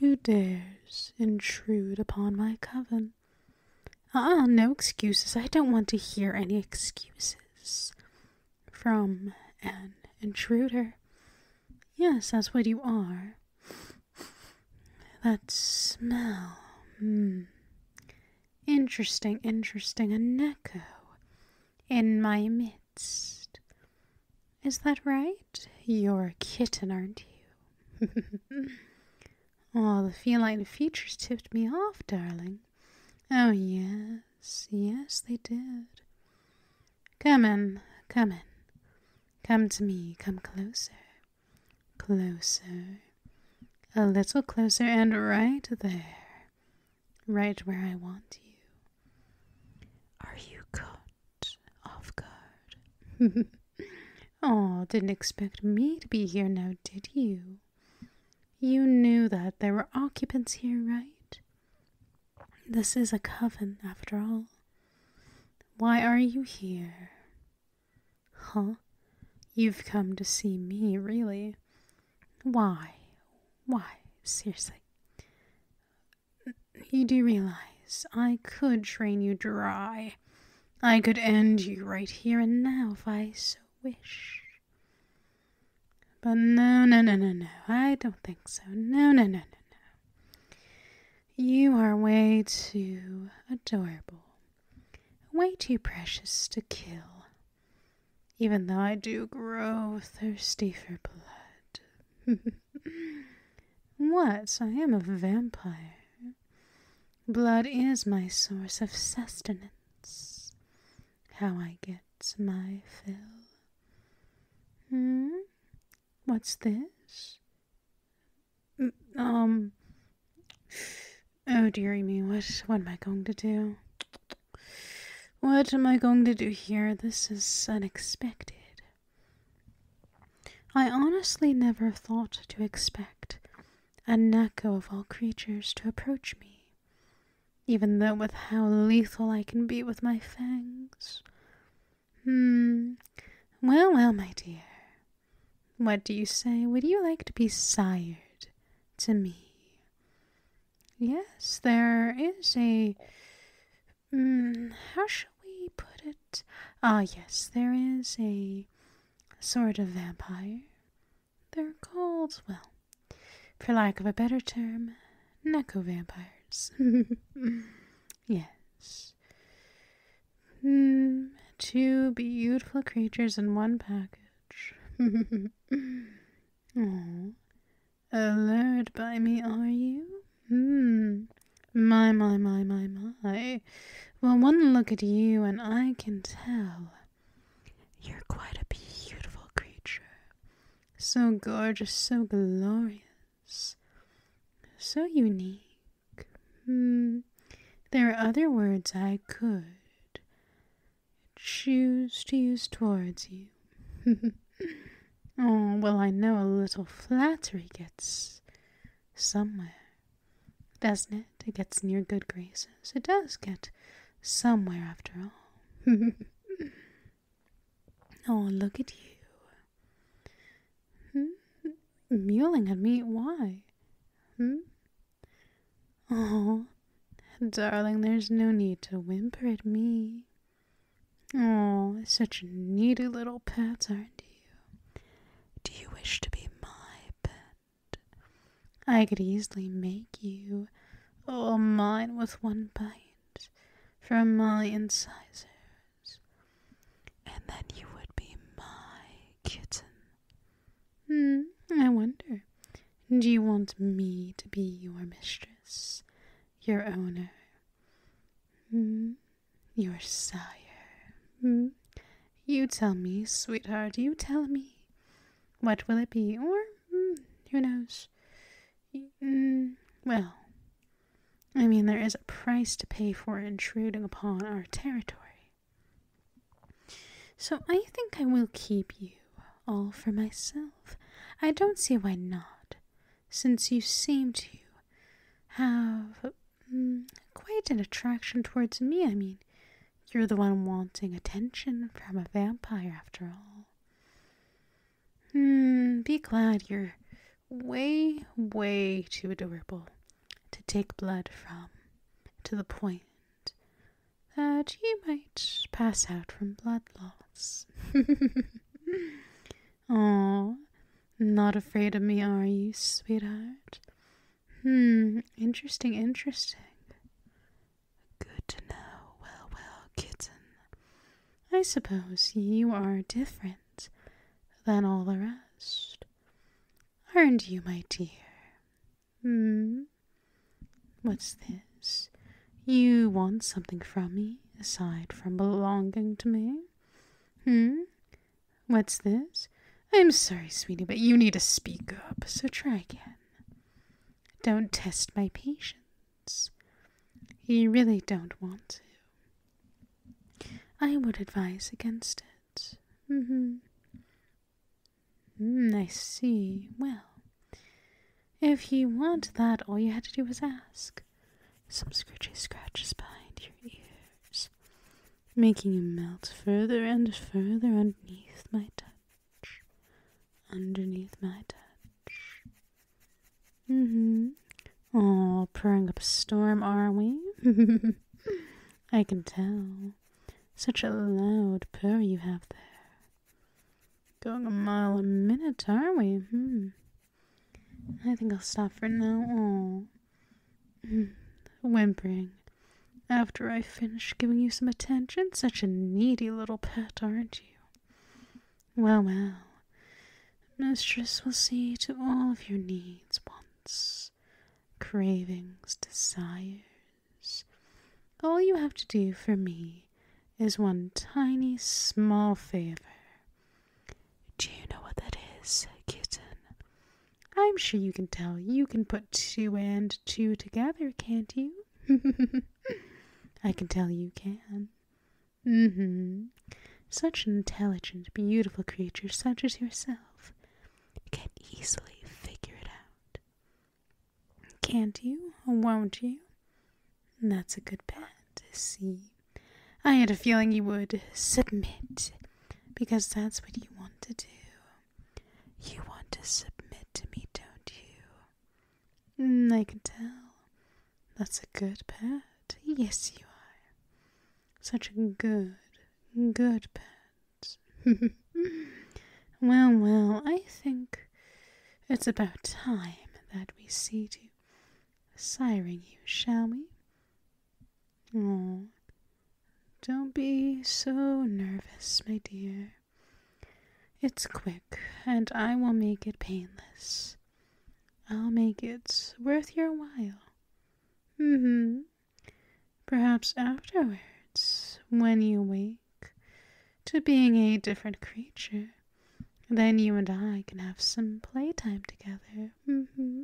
Who dares intrude upon my coven? Ah, no excuses. I don't want to hear any excuses from an intruder. Yes, that's what you are. That smell. Hmm. Interesting, interesting. An echo in my midst. Is that right? You're a kitten, aren't you? All oh, the feline features tipped me off, darling. Oh, yes, yes, they did. Come in, come in. Come to me, come closer. Closer. A little closer, and right there. Right where I want you. Are you good? off guard. oh, didn't expect me to be here now, did you? You knew that there were occupants here, right? This is a coven, after all. Why are you here? Huh? You've come to see me, really? Why? Why? Seriously. You do realize I could train you dry. I could end you right here and now if I so wished. But no, no, no, no, no. I don't think so. No, no, no, no, no. You are way too adorable. Way too precious to kill. Even though I do grow thirsty for blood. what? I am a vampire. Blood is my source of sustenance. How I get my fill. Hmm? What's this? Um. Oh, dearie me, what, what am I going to do? What am I going to do here? This is unexpected. I honestly never thought to expect a Neko of all creatures to approach me, even though with how lethal I can be with my fangs. Hmm. Well, well, my dear. What do you say? Would you like to be sired to me? Yes, there is a Hmm, how shall we put it? Ah, yes, there is a sort of vampire. They're called, well, for lack of a better term, Neko vampires. yes. Hmm, two beautiful creatures in one package. Aww. Allured by me, are you? Hmm. My, my, my, my, my. Well, one look at you and I can tell. You're quite a beautiful creature. So gorgeous, so glorious, so unique. Hmm. there are other words I could choose to use towards you. oh, well, I know a little flattery gets somewhere. Doesn't it? It gets near good graces. It does get somewhere after all. oh, look at you. Hmm? mewing at me? Why? Hmm? Oh, darling, there's no need to whimper at me. Oh, such needy little pets, aren't you? Do you wish to be my pet? I could easily make you all mine with one bite from my incisors, and then you would be my kitten. Hmm, I wonder. Do you want me to be your mistress, your owner? Hmm? Your sire. Hmm? You tell me, sweetheart, you tell me. What will it be? Or, hmm, who knows? Hmm, well, I mean, there is a price to pay for intruding upon our territory. So I think I will keep you all for myself. I don't see why not since you seem to have um, quite an attraction towards me. I mean, you're the one wanting attention from a vampire, after all. Hmm, be glad you're way, way too adorable to take blood from, to the point that you might pass out from blood loss. Oh, not afraid of me, are you, sweetheart? Hmm, interesting, interesting. Good to know. Well, well, kitten. I suppose you are different than all the rest. Aren't you, my dear? Hmm. What's this? You want something from me aside from belonging to me? Hmm? What's this? I'm sorry, sweetie, but you need to speak up, so try again. Don't test my patience. You really don't want to. I would advise against it. Mm-hmm. Mm, I see. Well, if you want that, all you had to do was ask some scritchy scratches behind your ears, making you melt further and further underneath my touch. Underneath my touch. hmm Oh, purring up a storm, are we? I can tell. Such a loud purr you have there. Going a mile a minute, are we? Hmm. I think I'll stop for now. Oh. Whimpering. After I finish giving you some attention, such a needy little pet, aren't you? Well, well. Mistress will see to all of your needs, wants, cravings, desires. All you have to do for me is one tiny small favor, do you know what that is, kitten? I'm sure you can tell. You can put two and two together, can't you? I can tell you can. Mm hmm. Such an intelligent, beautiful creature, such as yourself, can easily figure it out. Can't you? Won't you? That's a good bet. See? I had a feeling you would submit because that's what you want to do. You want to submit to me, don't you? Mm, I can tell. That's a good pet. Yes, you are. Such a good, good pet. well, well, I think it's about time that we see to siring you, shall we? Oh, don't be so nervous, my dear. It's quick, and I will make it painless. I'll make it worth your while. Mm-hmm. Perhaps afterwards, when you wake to being a different creature, then you and I can have some playtime together. Mm-hmm.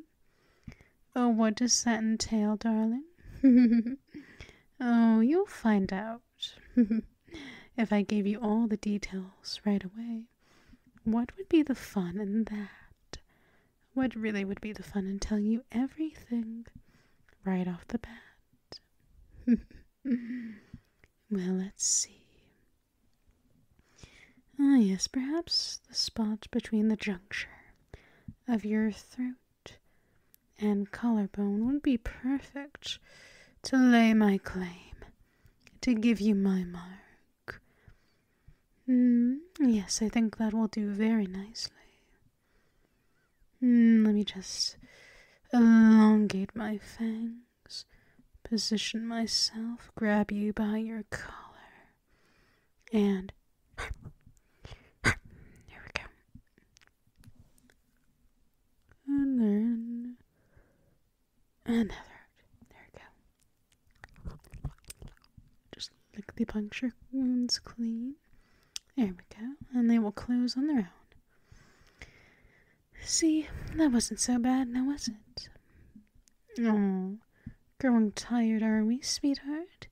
Oh, what does that entail, darling? oh, you'll find out. if I gave you all the details right away, what would be the fun in that? What really would be the fun in telling you everything right off the bat? well, let's see. Ah, yes, perhaps the spot between the juncture of your throat and collarbone would be perfect to lay my claim, to give you my mark. Mm, yes, I think that will do very nicely. Mm, let me just elongate my fangs, position myself, grab you by your collar. And there we go. And then another. There we go. Just lick the puncture wounds clean. There we go. And they will close on their own. See, that wasn't so bad, now was it? Oh, Growing tired, are we, sweetheart?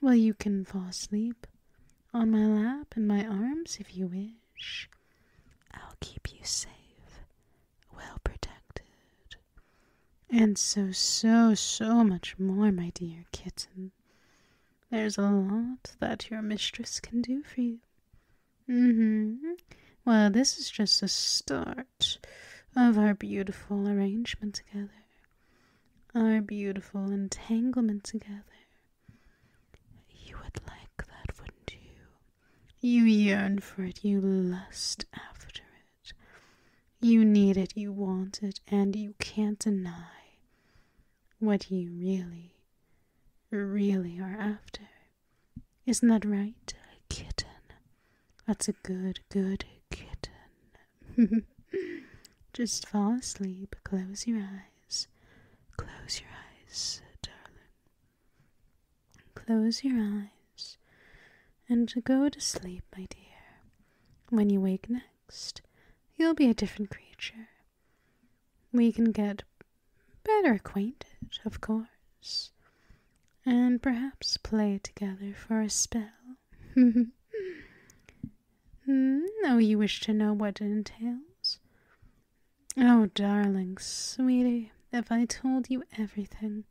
Well, you can fall asleep on my lap and my arms if you wish. I'll keep you safe, well protected, and so, so, so much more, my dear kitten. There's a lot that your mistress can do for you. Mm hmm. Well, this is just a start of our beautiful arrangement together, our beautiful entanglement together. You would like that, wouldn't you? You yearn for it, you lust after it. You need it, you want it, and you can't deny what you really, really are after. Isn't that right, kitten? That's a good, good kitten. Just fall asleep, close your eyes. Close your eyes, darling. Close your eyes and go to sleep, my dear. When you wake next, you'll be a different creature. We can get better acquainted, of course and perhaps play together for a spell. oh, you wish to know what it entails? Oh, darling, sweetie, if I told you everything,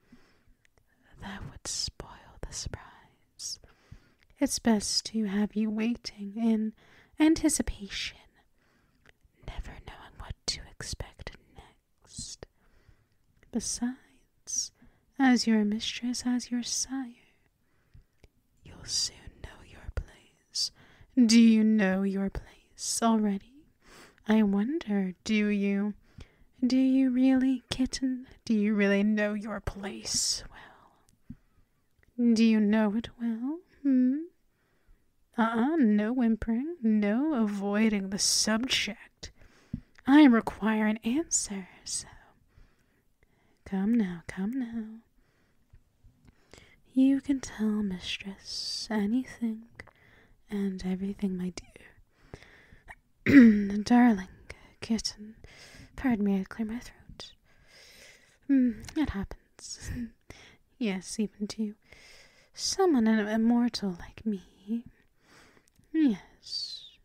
that would spoil the surprise. It's best to have you waiting in anticipation, never knowing what to expect next. Besides, as your mistress, as your sire, you'll soon know your place. Do you know your place already? I wonder, do you? Do you really, kitten? Do you really know your place well? Do you know it well? Hm. Ah, ah. no whimpering, no avoiding the subject. I require an answer, so come now, come now. You can tell mistress anything and everything, my dear. Darling kitten, pardon me, I clear my throat. Mm, it happens. yes, even to someone an immortal like me. Yes,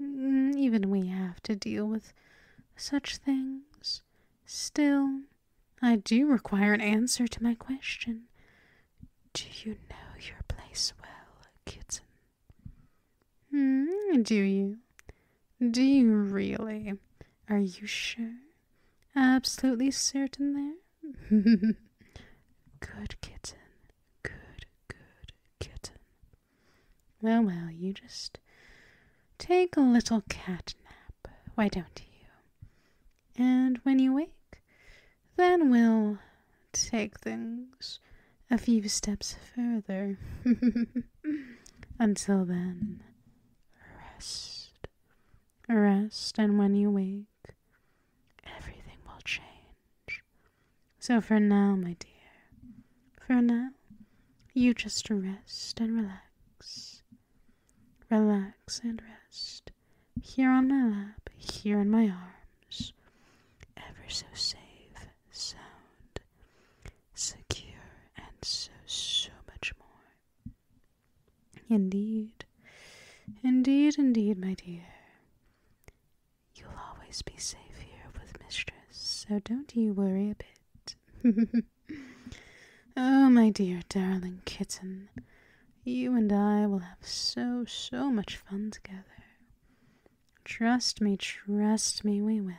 Mm, even we have to deal with such things. Still, I do require an answer to my question. Do you know your place well, kitten? Hmm, do you? Do you really? Are you sure? Absolutely certain there? Good kitten. Good, good kitten. Well, well, you just take a little cat nap, why don't you? And when you wake, then we'll take things a few steps further. Until then, rest. Rest, and when you wake, everything will change. So for now, my dear, for now, you just rest and relax. Relax and rest. Here on my lap, here in my arms. Ever so safe, sound, secure, and so, so much more. Indeed, indeed, indeed, my dear. You'll always be safe here with Mistress, so don't you worry a bit. oh, my dear, darling kitten, you and I will have so, so much fun together. Trust me, trust me, we will.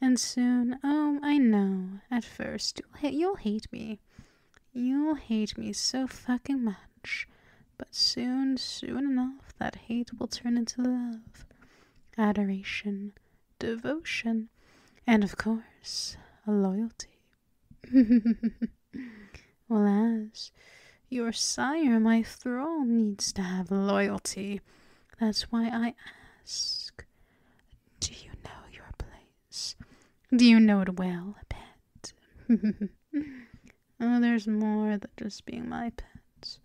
And soon, oh, I know, at first, you'll hate me. You'll hate me so fucking much. But soon, soon enough, that hate will turn into love, adoration, devotion, and of course, a loyalty. well, as your sire, my thrall, needs to have loyalty. That's why I ask Do you know your place? Do you know it well, pet? Oh, there's more than just being my pet.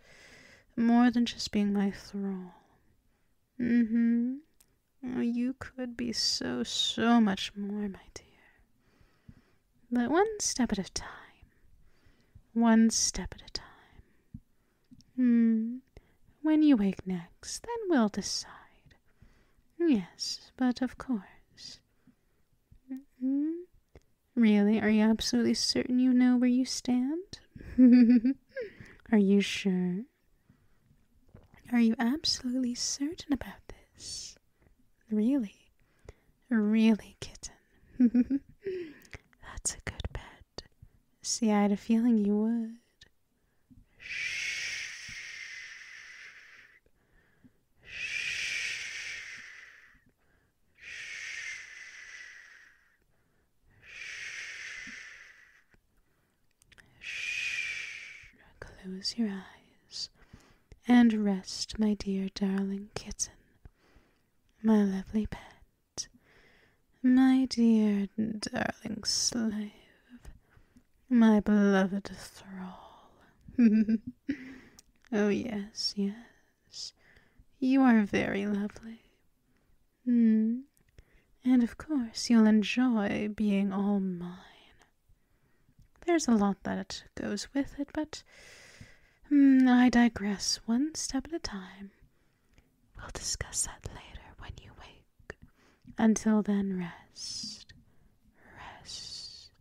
More than just being my thrall. Mm hmm. Oh, you could be so, so much more, my dear. But one step at a time. One step at a time. Hmm. When you wake next, then we'll decide. Yes, but of course. Mm-hmm. Really? Are you absolutely certain you know where you stand? Are you sure? Are you absolutely certain about this? Really? Really, kitten? That's a good bet. See, I had a feeling you would. Shh. Close your eyes and rest, my dear darling kitten, my lovely pet, my dear darling slave, my beloved thrall. Oh, yes, yes. You are very lovely. Hmm. And of course, you'll enjoy being all mine. There's a lot that goes with it, but hmm, I digress one step at a time. We'll discuss that later when you wake. Until then, rest. Rest.